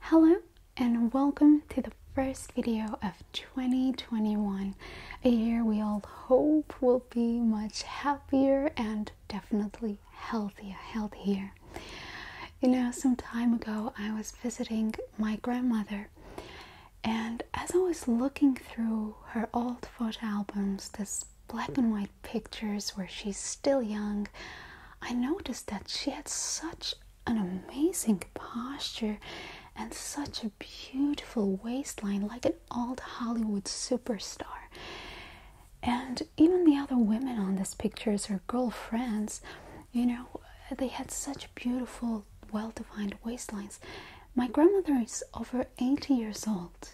Hello and welcome to the first video of 2021, a year we all hope will be much happier and definitely healthier, healthier. You know, some time ago I was visiting my grandmother and as I was looking through her old photo albums, this black and white pictures where she's still young, I noticed that she had such an amazing posture and such a beautiful waistline, like an old Hollywood superstar. And even the other women on this picture, her girlfriends, you know, they had such beautiful, well defined waistlines. My grandmother is over 80 years old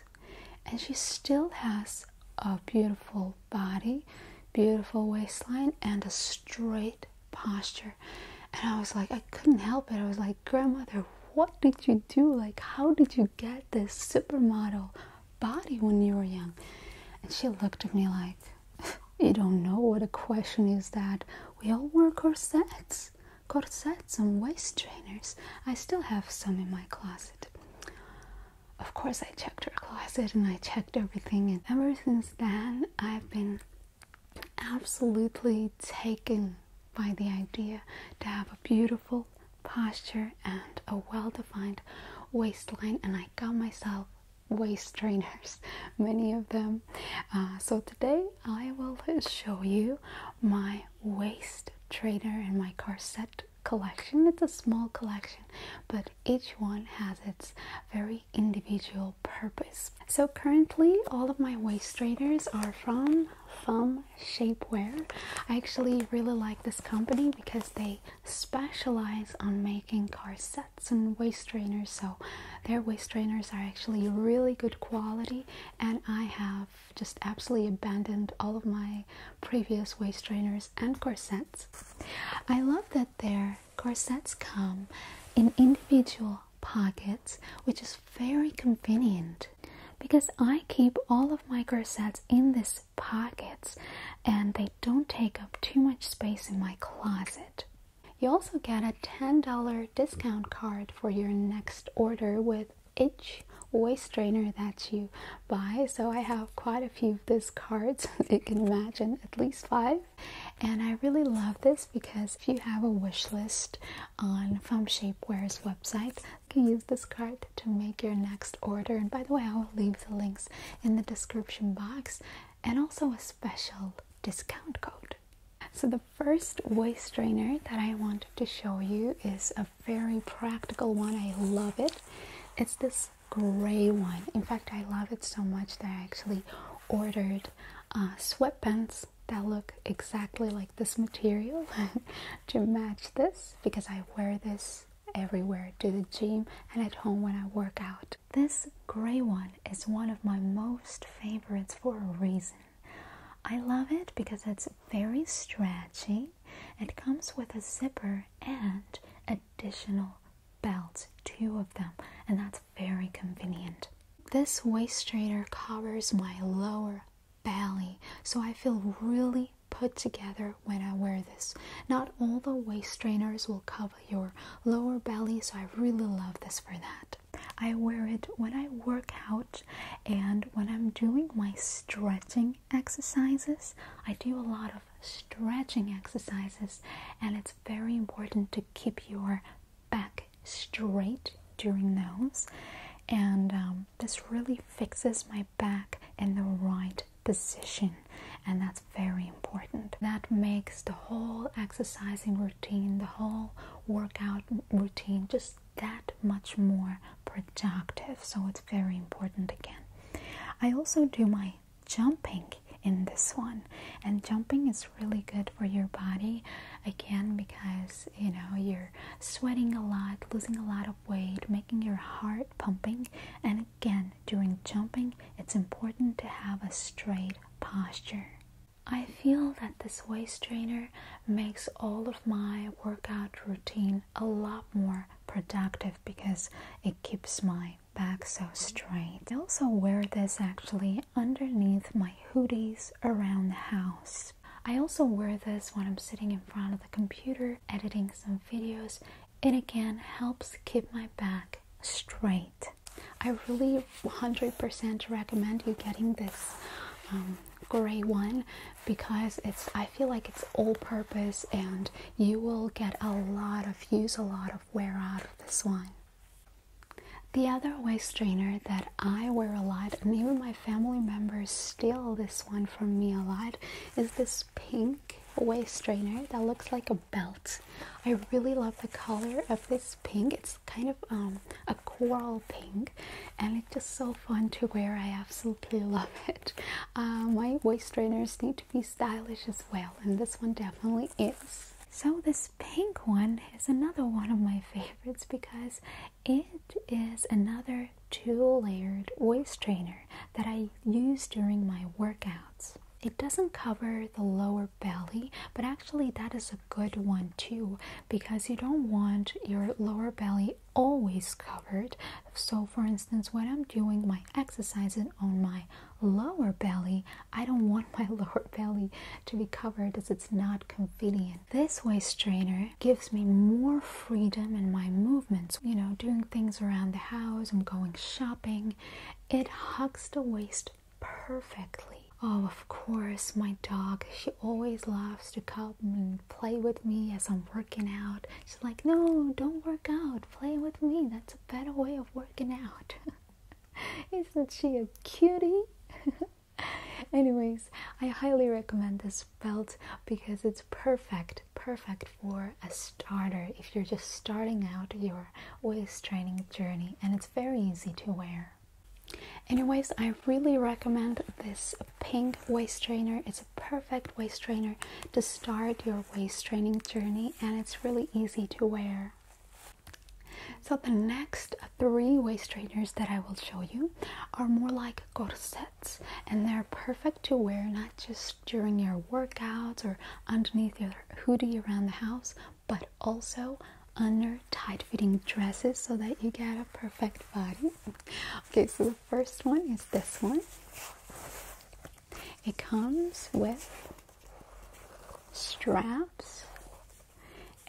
and she still has a beautiful body beautiful waistline and a straight posture. And I was like, I couldn't help it. I was like, grandmother, what did you do? Like, how did you get this supermodel body when you were young? And she looked at me like, you don't know what a question is that. We all wore corsets, corsets and waist trainers. I still have some in my closet of course, I checked her closet and I checked everything. And ever since then, I've been absolutely taken by the idea to have a beautiful posture and a well defined waistline. And I got myself waist trainers, many of them. Uh, so today, I will show you my waist trainer and my corset collection. It's a small collection, but each one has its very individual purpose. So currently all of my waist trainers are from Thumb Shapewear. I actually really like this company because they specialize on making corsets and waist trainers. So their waist trainers are actually really good quality and I have just absolutely abandoned all of my previous waist trainers and corsets. I love that their corsets come in individual pockets, which is very convenient because I keep all of my corsets in these pockets and they don't take up too much space in my closet. You also get a $10 discount card for your next order with each waist trainer that you buy. So I have quite a few this card so you can imagine at least five. And I really love this because if you have a wish list on From Shapewear's website, you can use this card to make your next order. And by the way, I will leave the links in the description box and also a special discount code. So the first waist strainer that I wanted to show you is a very practical one. I love it. It's this gray one. In fact, I love it so much that I actually ordered uh, sweatpants that look exactly like this material to match this because I wear this everywhere to the gym and at home when I work out. This gray one is one of my most favorites for a reason. I love it because it's very stretchy. It comes with a zipper and additional belts, two of them, and that's very convenient. This waist straighter covers my lower belly, so I feel really put together when I wear this. Not all the waist strainers will cover your lower belly, so I really love this for that. I wear it when I work out and when I'm doing my stretching exercises. I do a lot of stretching exercises, and it's very important to keep your back straight during those. And um, this really fixes my back in the right position, and that's very important. That makes the whole exercising routine, the whole workout routine, just that much more productive. So it's very important again. I also do my jumping in this one and jumping is really good for your body again because you know you're sweating a lot losing a lot of weight making your heart pumping and again during jumping it's important to have a straight posture i feel that this waist trainer makes all of my workout routine a lot more productive because it keeps my back so straight. I also wear this actually underneath my hoodies around the house. I also wear this when I'm sitting in front of the computer editing some videos. and again helps keep my back straight. I really 100% recommend you getting this um, gray one because it's I feel like it's all purpose and you will get a lot of use a lot of wear out of this one. The other waist trainer that I wear a lot, and even my family members steal this one from me a lot, is this pink waist trainer that looks like a belt. I really love the color of this pink. It's kind of um, a coral pink, and it's just so fun to wear. I absolutely love it. Uh, my waist trainers need to be stylish as well, and this one definitely my So, this pink one is another one of my favorites because it is another two layered waist trainer that I use during my workouts. It doesn't cover the lower belly, but actually, that is a good one too because you don't want your lower belly always covered. So, for instance, when I'm doing my exercises on my lower belly, I don't want my lower belly to be covered as it's not convenient. This waist strainer gives me more freedom in my movements, you know, doing things around the house, I'm going shopping. It hugs the waist perfectly. Oh, of course, my dog, she always loves to come and play with me as I'm working out. She's like, No, don't work out, play with me. That's a better way working out. Isn't she a cutie? Anyways, I highly recommend this belt because it's perfect, perfect for a starter if you're just starting out your waist training journey, and it's very easy to wear. Anyways, I really recommend this pink waist trainer. It's a perfect waist trainer to start your waist training journey, and it's really easy to wear. So, the next three waist trainers that I will show you are more like corsets, and they're perfect to wear not just during your workouts or underneath your hoodie around the house, but also under tight fitting dresses so that you get a perfect body. Okay, so the first one is this one. It comes with straps,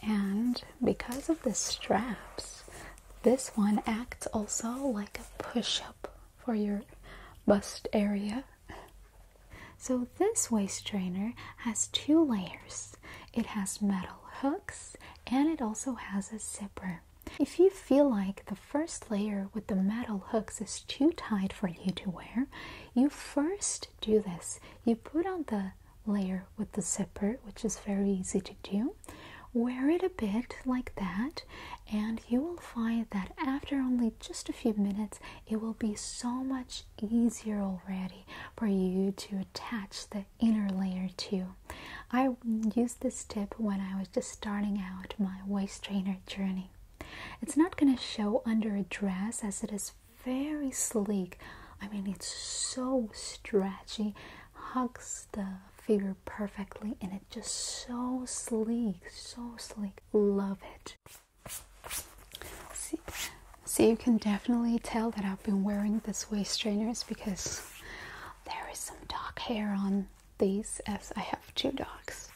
and because of the straps, this one acts also like a push up for your bust area. So, this waist trainer has two layers it has metal hooks and it also has a zipper. If you feel like the first layer with the metal hooks is too tight for you to wear, you first do this you put on the layer with the zipper which is very easy to do wear it a bit like that and you will find that after only just a few minutes it will be so much easier already for you to attach the inner layer too. i used this tip when i was just starting out my waist trainer journey it's not going to show under a dress as it is very sleek. I mean, it's so stretchy, hugs the figure perfectly, and it just so sleek, so sleek. Love it. See, so you can definitely tell that I've been wearing this waist trainers because there is some dog hair on these as I have two dogs.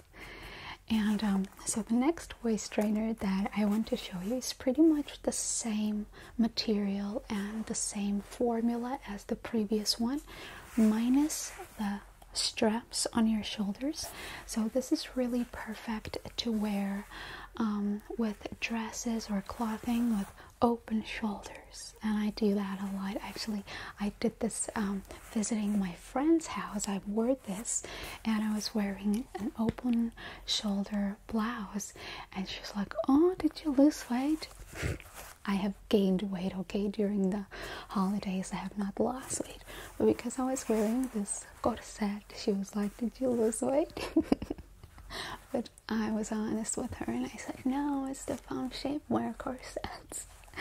And um, so the next waist trainer that I want to show you is pretty much the same material and the same formula as the previous one, minus the straps on your shoulders. So this is really perfect to wear um, with dresses or clothing with open shoulders and i do that a lot actually i this um, visiting my friend's house. I wore this and I was wearing an open shoulder blouse. And she's like, Oh, did you lose weight? I have gained weight, okay, during the holidays. I have not lost weight. But because I was wearing this corset, she was like, Did you lose weight? but I was honest with her and I said, No, it's the femme shape where corsets.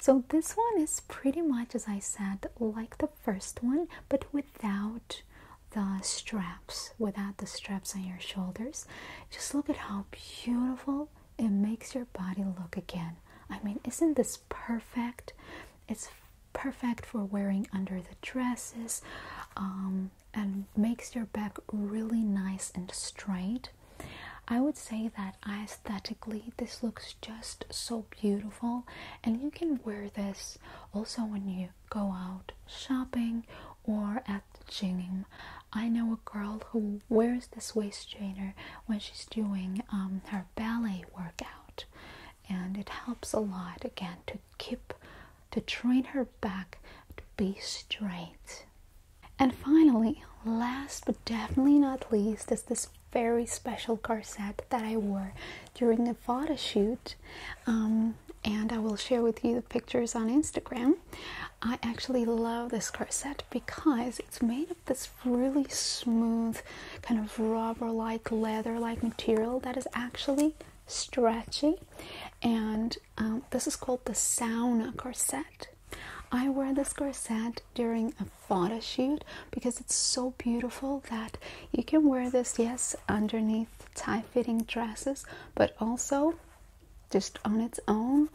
So, this one is pretty much, as I said, like the first one, but without the straps, without the straps on your shoulders. Just look at how beautiful it makes your body look again. I mean, isn't this perfect? It's perfect for wearing under the dresses um, and makes your back really nice and straight. I would say that I aesthetically this looks just so beautiful and you can wear this also when you go out shopping or at the gym i know a girl who wears this waist trainer when she's doing um, her ballet workout and it helps a lot again to keep to train her back to be straight and finally last but definitely not least is this very special corset that I wore during the photo shoot. Um, and I will share with you the pictures on Instagram. I actually love this corset because it's made of this really smooth, kind of rubber like, leather like material that is actually stretchy. And um, this is called the sauna corset. I wear this corset during a photo shoot because it's so beautiful that you can wear this, yes, underneath tight fitting dresses, but also just on its own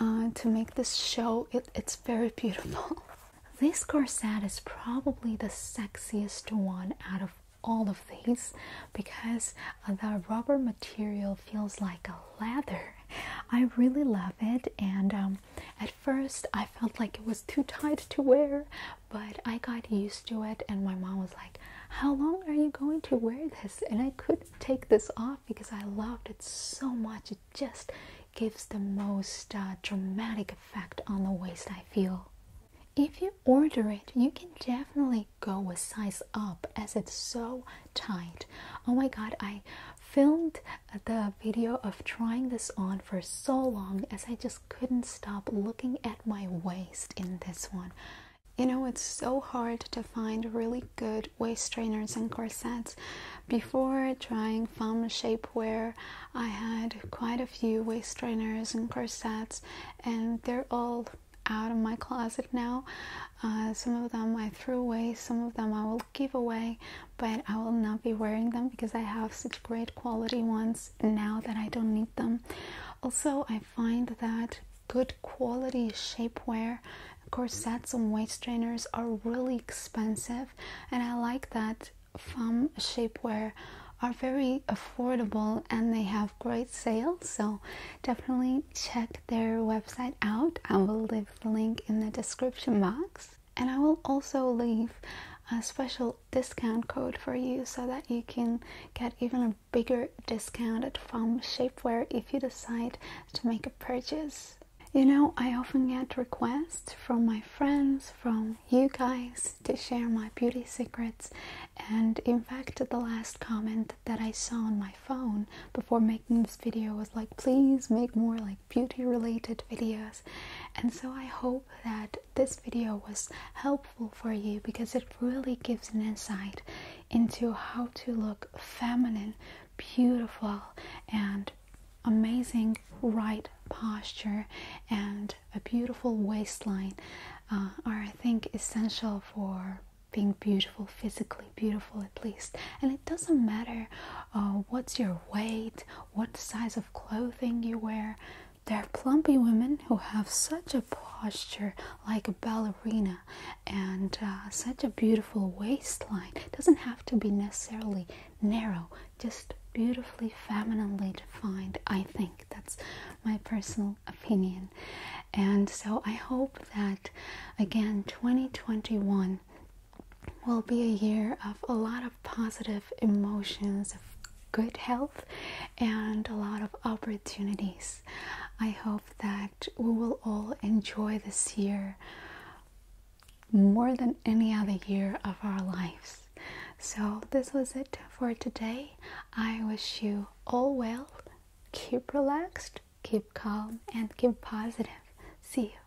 uh, to make this show. It, it's very beautiful. This corset is probably the sexiest one out of all of these because uh, the rubber material feels like a leather. I really love it, and um, at first I felt like it was too tight to wear, but I got used to it, and my mom was like, How long are you going to wear this? And I couldn't take this off because I loved it so much. It just gives the most uh, dramatic effect on the waist, I feel. If you order it, you can definitely go a size up as it's so tight. Oh my god, I filmed the video of trying this on for so long as I just couldn't stop looking at my waist in this one. You know, it's so hard to find really good waist trainers and corsets. Before trying femme shapewear, I had quite a few waist trainers and corsets, and they're all out of my closet now. Uh, some of them I threw away, some of them I will give away, but I will not be wearing them because I have such great quality ones now that I don't need them. Also, I find that good quality shapewear corsets and waist trainers are really expensive, and I like that from shapewear are very affordable and they have great sales so definitely check their website out i will leave the link in the description box and I will also leave a special discount code for you so that you can get even a bigger discount from Shapewear if you decide to make a purchase. You know, I often get requests from my friends, from you guys, to share my beauty secrets. And in fact, the last comment that I saw on my phone before making this video was like, please make more like beauty related videos and so i hope that this video was helpful for you because it really gives an insight into how to look feminine beautiful and amazing right posture and a beautiful waistline uh, are i think essential for being beautiful physically beautiful at least and it doesn't matter uh, what's your weight what size of clothing you wear. There are plumpy women who have such a posture like a ballerina and uh, such a beautiful waistline. It doesn't have to be necessarily narrow, just beautifully femininely defined. I think that's my personal opinion. And so I hope that again, 2021 will be a year of a lot of positive emotions, of good health, and a lot of opportunities. I hope that we will all enjoy this year more than any other year of our lives. So, this was it for today. I wish you all well. Keep relaxed, keep calm, and keep positive. See you.